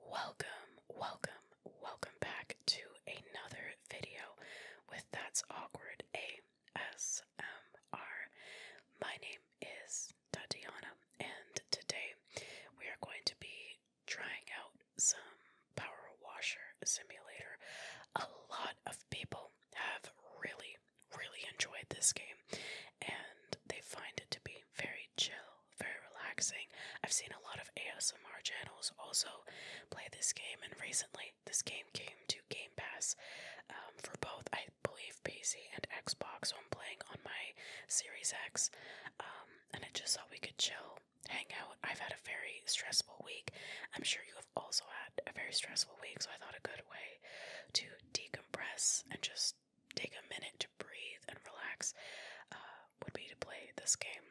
Welcome, welcome, welcome back to another video with That's Awkward ASMR. My name is Tatiana, and today we are going to be trying out some power washer simulator. A lot of people have really, really enjoyed this game, and they find it to be very chill very relaxing. I've seen a lot of ASMR channels also play this game, and recently this game came to Game Pass um, for both, I believe, PC and Xbox. So I'm playing on my Series X, um, and it just thought we could chill, hang out. I've had a very stressful week. I'm sure you have also had a very stressful week, so I thought a good way to decompress and just take a minute to breathe and relax. Uh, would be to play this game.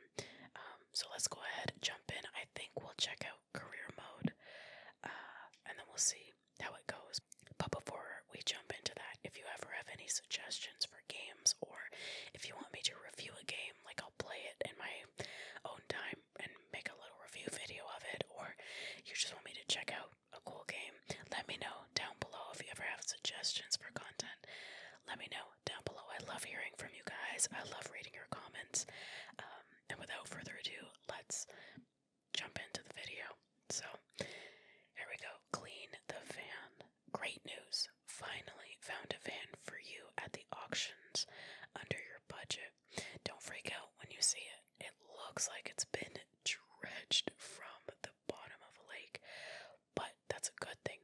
Um, so let's go ahead, jump in. I think we'll check out career mode, uh, and then we'll see how it goes. But before we jump into that, if you ever have any suggestions for games, or if you want me to review a game, like I'll play it in my own time and make a little review video of it, or you just want me to check out a cool game, let me know down below if you ever have suggestions for content let me know down below. I love hearing from you guys. I love reading your comments. Um, and without further ado, let's jump into the video. So, here we go. Clean the van. Great news. Finally found a van for you at the auctions under your budget. Don't freak out when you see it. It looks like it's been dredged from the bottom of a lake but that's a good thing.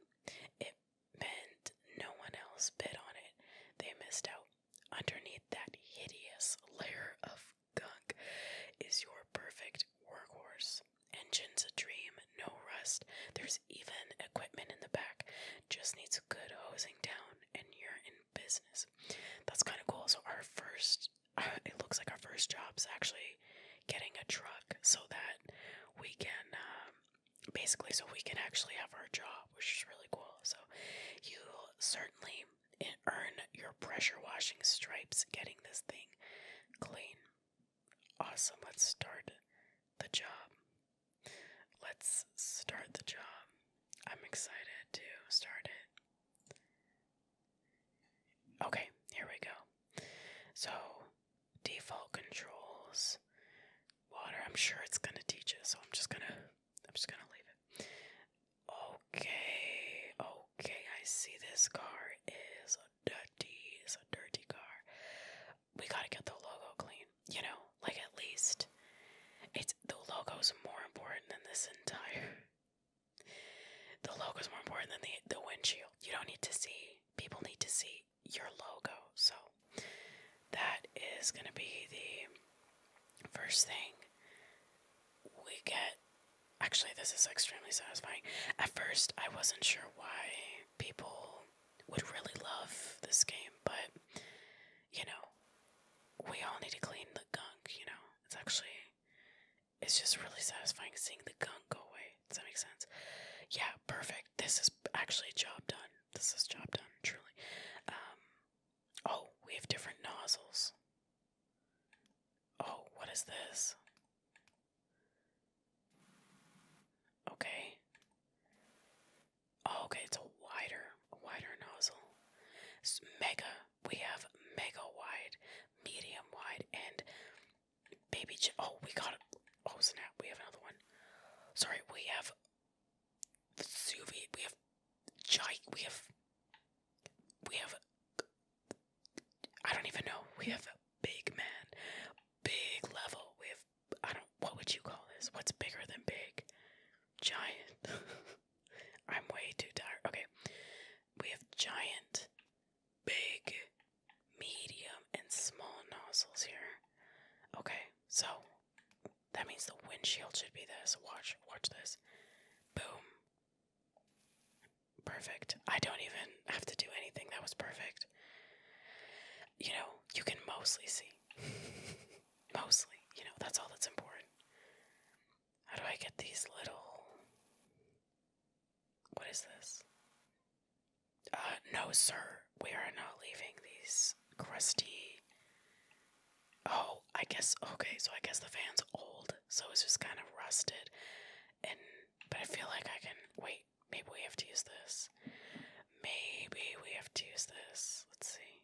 It meant no one else bid on it. They missed out. Underneath that hideous layer of gunk is your perfect workhorse. Engine's a dream, no rust. There's even equipment in the back. Just needs good hosing down, and you're in business. That's kind of cool. So, our first, it looks like our first job's actually getting a truck so that we can um, basically so we can actually have our job, which is really cool. So you certainly earn your pressure washing stripes getting this thing clean. Awesome. Let's start the job. Let's start the job. I'm excited to start it. Okay, here we go. So default controls, water. I'm sure it's gonna teach it, so I'm just gonna I'm just gonna leave it. Okay, okay, I see this car is a dirty is a dirty car. We gotta get the logo clean, you know, like at least it's the logo's more important than this entire the logo's more important than the the windshield. You don't need to see people need to see your logo. So that is going to be the first thing we get. Actually, this is extremely satisfying. At first, I wasn't sure why people would really love this game, but you know, we all need to clean the gunk, you know. It's actually it's just really satisfying seeing the gunk go away does that make sense? Yeah, perfect. This is actually job done. This is job done, truly. Um, oh, we have different nozzles. Oh, what is this? Okay. Oh, okay, it's a wider, wider nozzle. mega. We have mega wide, medium wide, and baby. Ch oh, we got it. Oh snap! We have another one. Sorry, we have Suvi. We have Jike. We have. We have. I don't even know. We have a big man, big level. We have. I don't. What would you call this? What's bigger than big? Giant. I'm way too tired. Okay. We have giant big, medium, and small nozzles here. Okay, so that means the windshield should be this. Watch, watch this. Boom. Perfect. I don't even have to do anything. That was perfect. You know, you can mostly see. mostly. You know, that's all that's important. How do I get these little. What is this? Uh, no, sir. We are not leaving these crusty. Oh, I guess. Okay, so I guess the fan's old, so it's just kind of rusted. And. But I feel like I can. Wait, maybe we have to use this. Maybe we have to use this. Let's see.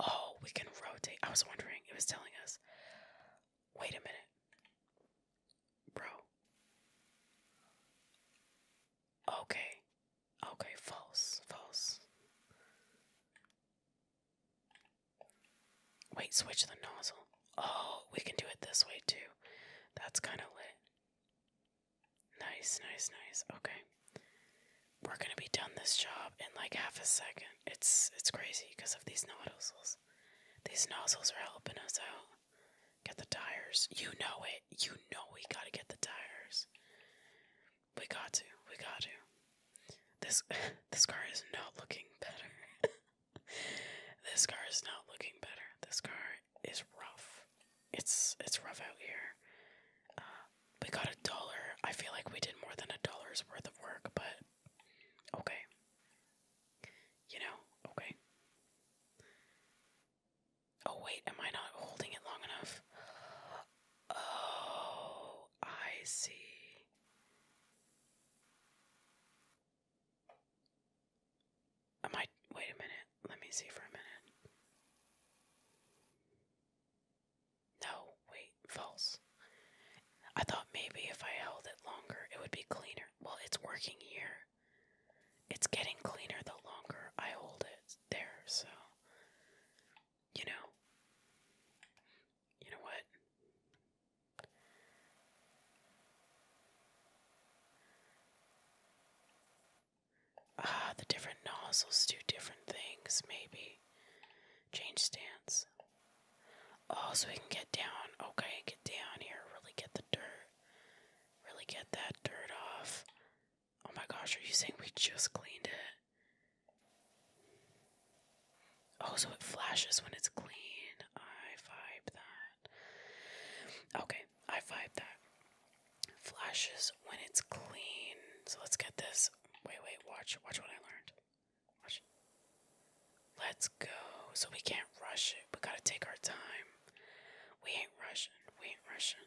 Oh, we can rotate. I was wondering. It was telling us. Wait a minute. Bro. Okay. Okay, false, false. Wait, switch the nozzle. Oh, we can do it this way too. That's kind of lit. Nice, nice, nice. Okay. We're going to be done this job in like half a second. It's it's crazy because of these nozzles. These nozzles are helping us out. Get the tires. You know it. You know we gotta get the tires. We got to. We got to. This this car is not looking better. this car is not looking better. This car is rough. It's it's rough out here. Uh, we got a dollar. I feel like we did more than a dollar's worth of work, but okay. You know, okay. Oh, wait, am I not holding it long enough? Oh, I see. Am I. Wait a minute. Let me see for a minute. No, wait, false. I thought maybe if I held it longer, it would be cleaner. Well, it's working here. It's getting cleaner the longer I hold it there, so you know. You know what? Ah, the different nozzles do different things, maybe. Change stance. Oh, so we can get down. Okay, get down here. Really get the dirt. Really get that dirt off. Oh my gosh, are you saying we just cleaned it? Oh, so it flashes when it's clean. I vibe that. Okay, I vibe that. Flashes when it's clean. So let's get this. Wait, wait, watch. Watch what I learned. Watch. Let's go. So we can't rush it. We gotta take our time. We ain't rushing. We ain't rushing.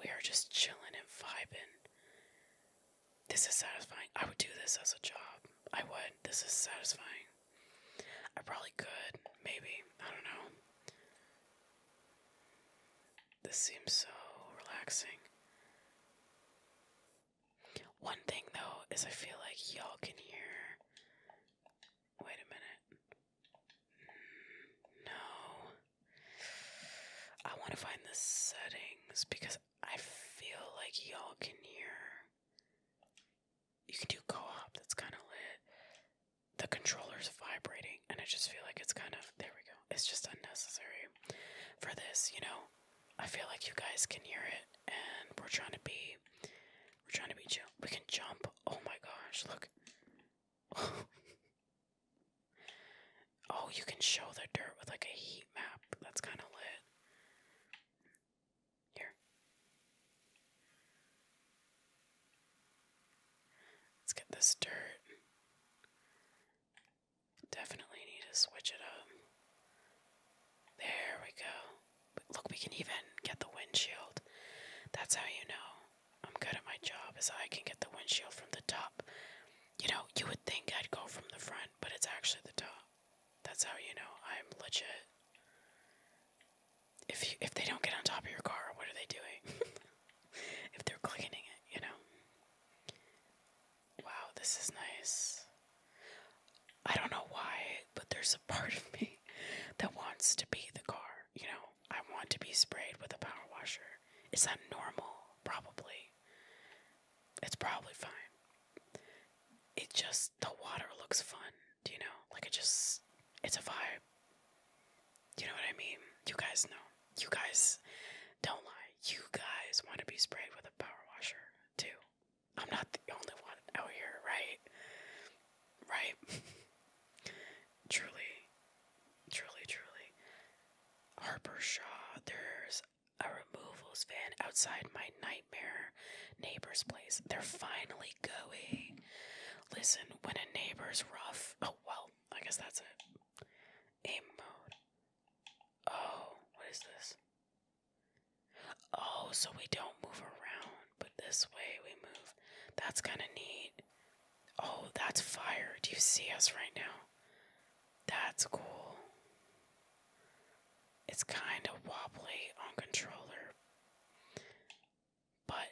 We are just chilling and vibing. This is satisfying. I would do this as a job. I would. This is satisfying. I probably could. Maybe. I don't know. This seems so relaxing. One thing though is I feel like y'all can hear Wait a minute. No. I want to find the settings because I feel like y'all can hear. You can do co op, that's kind of lit. The controller's vibrating, and I just feel like it's kind of. There we go. It's just unnecessary for this, you know? I feel like you guys can hear it, and we're trying to be we're trying to be chill. We can jump. Oh my gosh, look. oh, you can show the dirt with like a heat map. That's kind of lit. Here. Let's get this dirt. Definitely need to switch it up. There we go. Look, we can even get the windshield. That's how you know I'm good at my job, is I can get the windshield from the top. You know, you would think I'd go from the front, but it's actually the top. That's how you know I'm legit. If you, if they don't get on top of your car, what are they doing? if they're cleaning it, you know. Wow, this is nice. I don't know why, but there's part of me that wants to be the car. You know, I want to be sprayed with a power washer. Is that normal? Probably. It's probably fine. It just, the water looks fun, do you know? Like it just, it's a vibe. You know what I mean? You guys know. You guys, don't lie. You guys want to be sprayed with a power washer, too. I'm not the only one out here, right? right? truly, truly, truly. Harper Shaw, there's a removals van outside my nightmare neighbor's place. They're finally going. Listen, when a neighbor's rough. Oh, well, I guess that's it. Aim mode. Oh, what is this? Oh, so we don't move around. But this way we move. That's kind of neat. Oh, that's fire. Do you see us right now? That's cool. It's kind of wobbly on controller. But,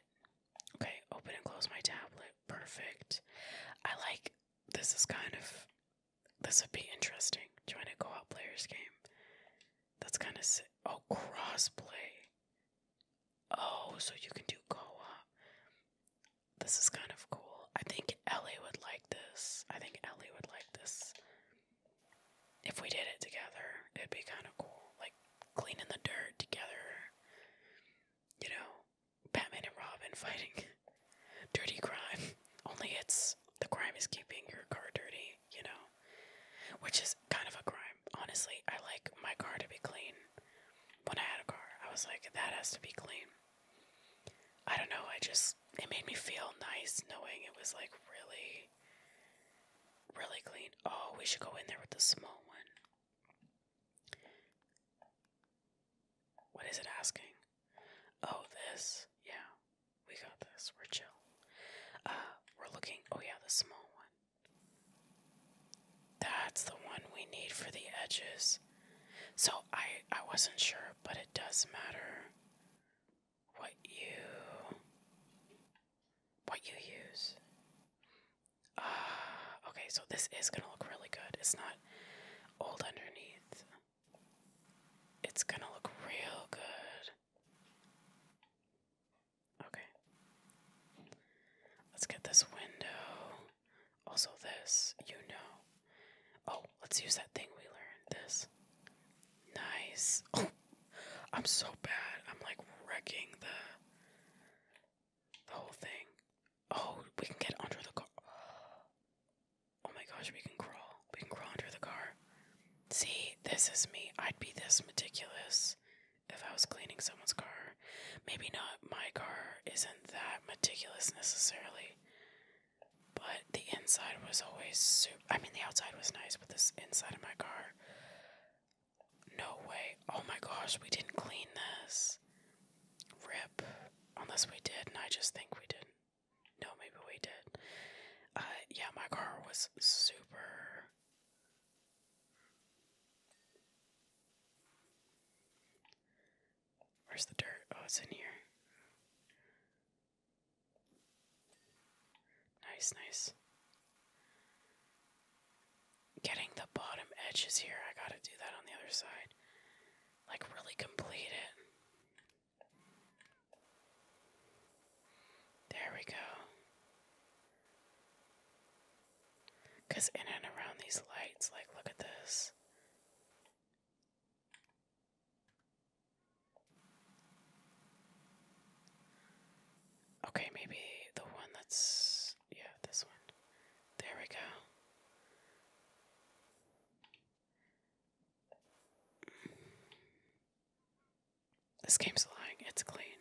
okay, open and close my tablet. Perfect. I like this, is kind of. This would be interesting. Join to go out players game. That's kind of Oh, crossplay. Oh, so you can do co-op. This is kind of cool. I think Ellie would like this. I think Ellie would like this. If we did it together, it'd be kind of cool. Like cleaning the dirt together. You know, Batman and Robin fighting dirty crime. Only it's the crime is keeping your car dirty you know, which is kind of a crime. Honestly, I like my car to be clean. When I had a car, I was like, that has to be clean. I don't know, I just, it made me feel nice knowing it was like really, really clean. Oh, we should go in there with the small one. What is it asking? Oh, this. Yeah, we got this. We're chill. Uh, we're looking. Oh, yeah, the small one. That's the one we need for the edges. So I I wasn't sure, but it does matter what you what you use. Ah, okay, so this is gonna look really good. It's not old underneath. It's gonna look real good. Okay. Let's get this window. Also, this, you know. Oh, let's use that thing we learned. This. Nice. Oh, I'm so bad. I'm like wrecking the the whole thing. Oh, we can get under the car. Oh my gosh, we can crawl. We can crawl under the car. See, this is me. I'd be this meticulous if I was cleaning someone's car. Maybe not my car isn't that meticulous necessarily, but the inside was always super. I mean, the outside was nice, but this inside of my car, no way. Oh my gosh, we didn't clean this. Rip. Unless we did, and I just think we didn't. No, maybe we did. Uh, yeah, my car was super Where's the dirt? Oh, it's in here. Nice, nice. Getting the bottom edges here. I gotta do that on the other side. Like, really complete it. There we go. Because in and around these lights, like, look at this. Okay, maybe the one that's. Yeah, this one. There we go. This game's lying. It's clean.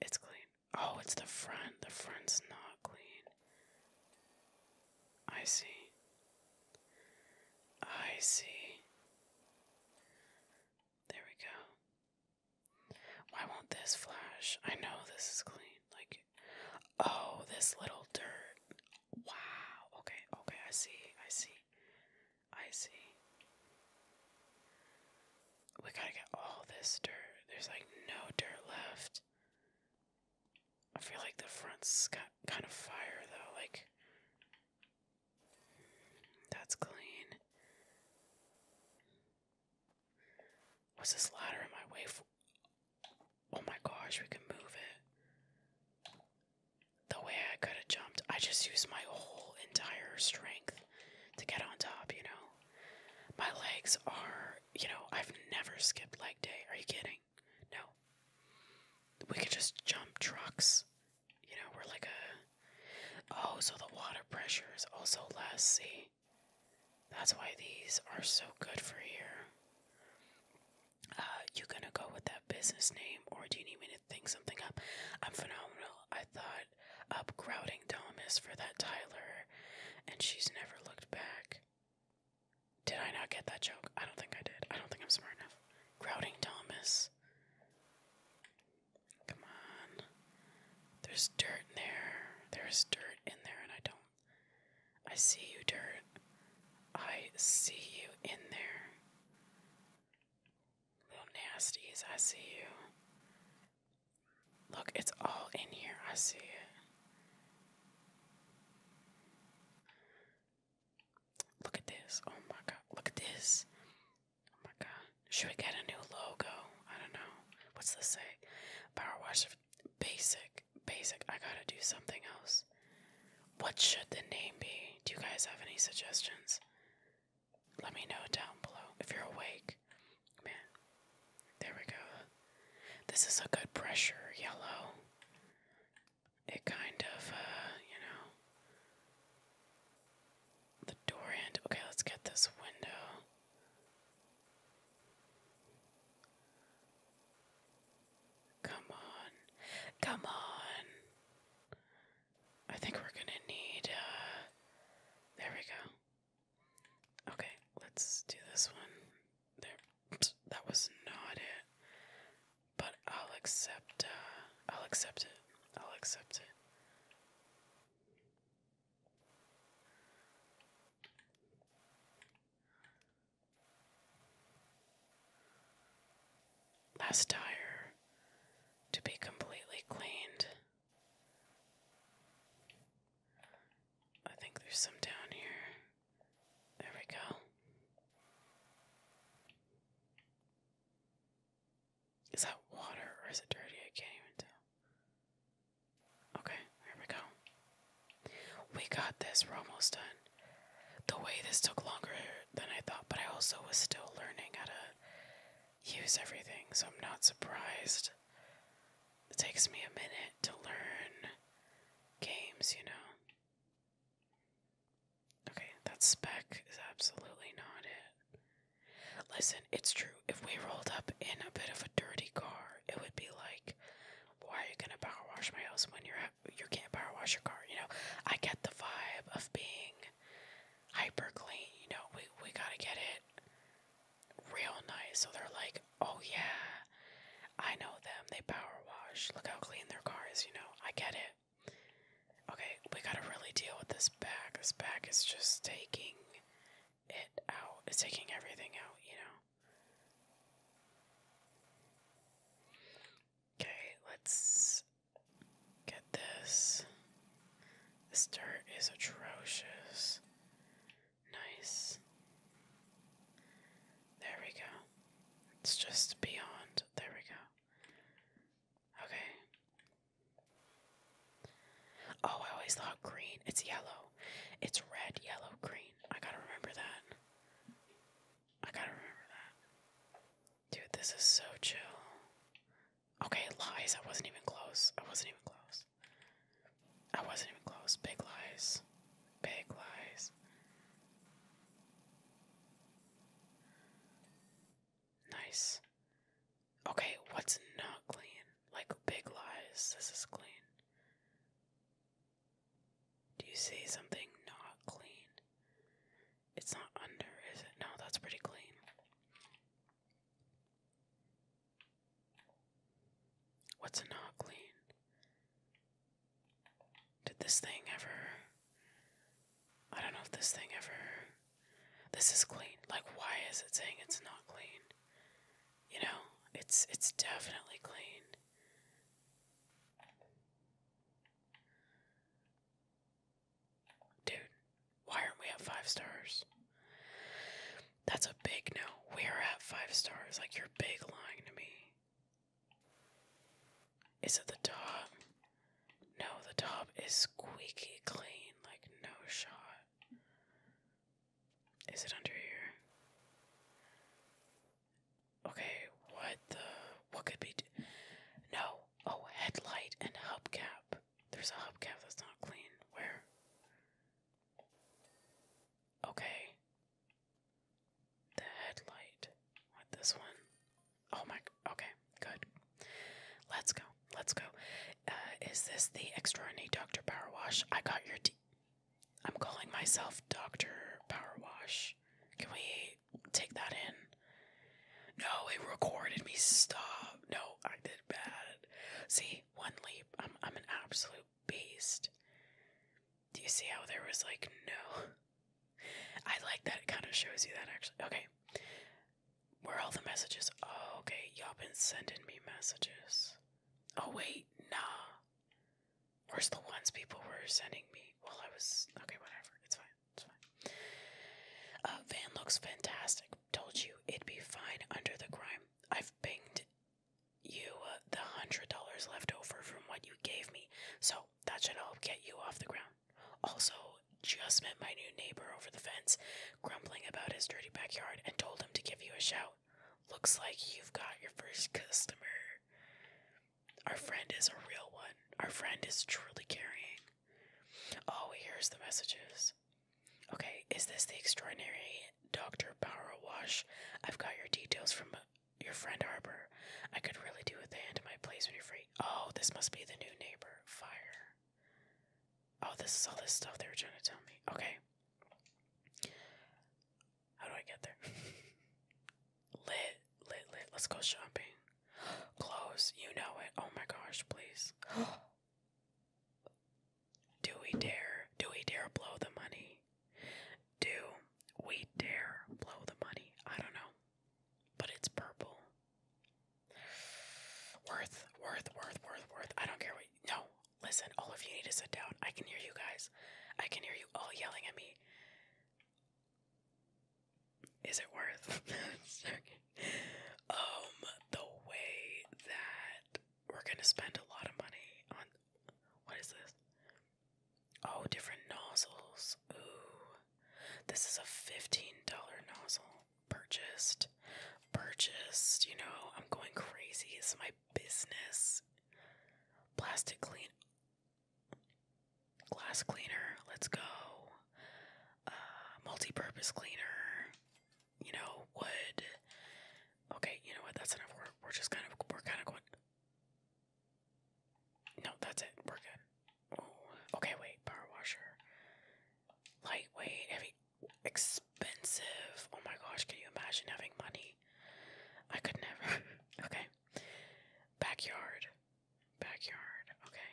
It's clean. Oh, it's the front. The front's not clean. I see. I see. There we go. Why won't this flash? I know this is clean. Like, oh, this little dirt. Wow. Okay, okay, I see. I see. I see. We gotta get all this dirt. There's like no dirt left. I feel like the front's got kind of fire though. Like, that's clean. What's this ladder in my way Oh my gosh, we can move it. The way I could have jumped, I just used my whole entire strength to get on top, you know? My legs are, you know, I've never skipped leg day. Are you kidding? No. We could just jump trucks. You know, we're like a. Oh, so the water pressure is also less. See? That's why these are so good for here. Uh, you gonna go with that business name, or do you need me to think something up? I'm phenomenal. I thought that upcrowding Thomas for that Tyler, and she's never looked back. Did I not get that joke? I don't think I did. I don't think I'm smart enough. Grouting Thomas. Come on. There's dirt in there. There's dirt in there, and I don't. I see you, dirt. I see you in there. Little nasties, I see you. Look, it's all in here. I see it. Look at this. Oh my god. Look at this. Oh my god. Should we get a new logo? I don't know. What's this say? Power washer. Basic. Basic. I gotta do something else. What should the name be? Do you guys have any suggestions? Let me know down below if you're awake. Man, there we go. This is a good pressure yellow. It kind of, uh, you know, the door end. Okay, let's get this window. Come on. Come on. I think we're going to need, uh, there we go. Okay, let's do this one. There, that was not it. But I'll accept. Uh, I'll accept it. I'll accept it. Last tire to be completely cleaned. I think there's some down here. There we go. Is that water or is it dirty? I can't even tell. Okay, there we go. We got this. We're almost done. The way this took longer than I thought, but I also was still learning how to use everything, so I'm not surprised. It takes me a minute to learn games, you know. Okay, that spec is absolutely not it. Listen, it's true. If we rolled up in a bit of a dirty car, it would be like, why are you gonna power wash my house when you're you can't power wash your car? You know, I get the vibe of being hyper clean. You know, we we gotta get it real nice. So they're like, oh yeah, I know them. They power wash. Look how clean their car is, you know. I get it. Okay, we gotta really deal with this bag. This bag is just taking it out. It's taking everything out, you know. Okay, let's get this. This dirt is atrocious. Nice. There we go. It's just beyond. There we go. Okay. Oh, I always thought green. It's yellow. It's red, yellow, green. I gotta remember that. I gotta remember that. Dude, this is so chill. Okay, lies. I wasn't even close. I wasn't even close. I wasn't even close. Big lies. Big lies. Nice. Okay, what's not clean? Like big lies. This is clean. Do you see something not clean? It's not under, is it? No, that's pretty clean. What's a not clean? Did this thing ever. I don't know if this thing ever. This is clean. Like, why is it saying it's not clean? You know, it's it's definitely clean. Dude, why aren't we at five stars? That's a big no. We're at five stars. Like, you're big lying to me. Is it the top? No, the top is squeaky clean. Like, no shot. Is it under here? Okay, what the? What could be? no. Oh, headlight and hubcap. There's a hubcap that's not clean. Where? Okay. The headlight with this one. Oh my, okay, good. Let's go, let's go. Uh, is this the extraordinary Dr. Powerwash? I got your D. I'm calling myself Dr. Powerwash. Can we take that in? No, it recorded me. Stop. No, I did bad. See, one leap. I'm I'm an absolute beast. Do you see how there was like no? I like that it kind of shows you that actually. Okay. Where all the messages? Oh, okay. Y'all been sending me messages. Oh wait, nah. Where's the ones people were sending me? Well, I was okay. Whatever. It's fine. It's fine. Uh, van looks fantastic. Told you it'd be fine under the grime. I've pinged you uh, the hundred dollars left over from what you gave me, so that should help get you off the ground. Also, just met my new neighbor over the fence, grumbling about his dirty backyard, and told him to give you a shout. Looks like you've got your first customer. Our friend is a real one. Our friend is truly caring. Oh, here's the messages. Okay, is this the extraordinary Dr. Power Wash? I've got your details from your friend Harper. I could really do with a hand to my place when you're free. Oh, this must be the new neighbor. Fire. Oh, this is all this stuff they were trying to tell me. Okay. How do I get there? lit, lit, lit. Let's go shopping. Clothes, you know it. Oh my gosh, please. Oh, do we dare? Do we dare blow the money? Do we dare blow the money? I don't know. But it's purple. Worth, worth, worth, worth, worth. I don't care what. You, no, listen, all of you need to sit down. I can hear you guys. I can hear you all yelling at me. Is it worth? um, the way that we're gonna spend a lot of money on what is this? Oh, different nozzles. Ooh, this is a fifteen dollar nozzle purchased. Purchased. You know, I'm going crazy. It's my business. Plastic clean, glass cleaner. Let's go. Uh, multi-purpose cleaner you know, would okay, you know what, that's enough. We're we're just kind of we're kind of going No, that's it. We're good. Oh, okay, wait, power washer. Lightweight, heavy expensive. Oh my gosh, can you imagine having money? I could never. okay. Backyard. Backyard. Okay.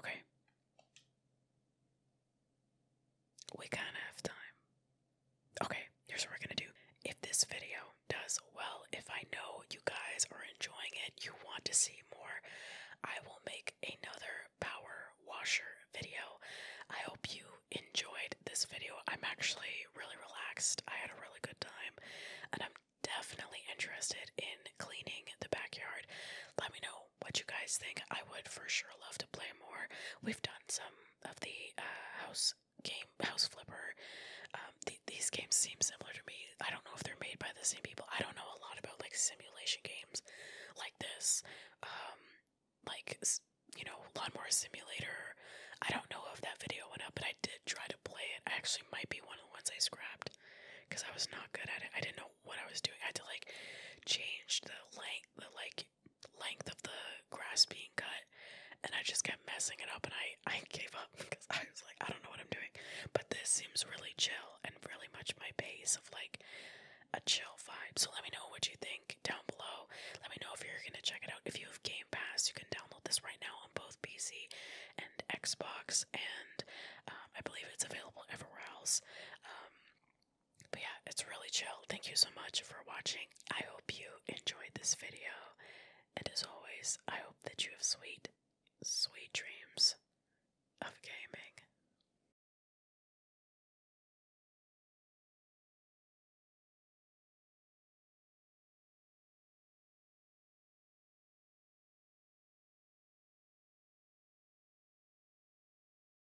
Okay. We kind of have time. Okay, here's what we're gonna do. If this video does well, if I know you guys are enjoying it, you want to see more, I will make another power washer video. I hope you enjoyed this video. I'm actually really relaxed. I had a really good time, and I'm definitely interested in cleaning the backyard. Let me know what you guys think. I would for sure love to play more. We've done some of the uh, house game, house flipper. Um, these games seem similar to me. I don't know if they're made by the same people. I don't know a lot about like simulation games like this. Um, like you know, lawnmower simulator. I don't know if that video went up, but I did try to play it. I actually might be one of the ones I scrapped because I was not good at it. I didn't know what I was doing. I had to like change the length, the like length of the grass being cut and I just kept messing it up and I I gave up because I was like I don't know what I'm doing but this seems really chill and really much my pace of like a chill vibe so let me know what you think down below let me know if you're gonna check it out if you have Game Pass you can download this right now on both PC and Xbox and um, I believe it's available everywhere else um, but yeah, it's really chill. Thank you so much for watching. I hope you enjoyed this video. And as always, I hope that you have sweet, sweet dreams of gaming.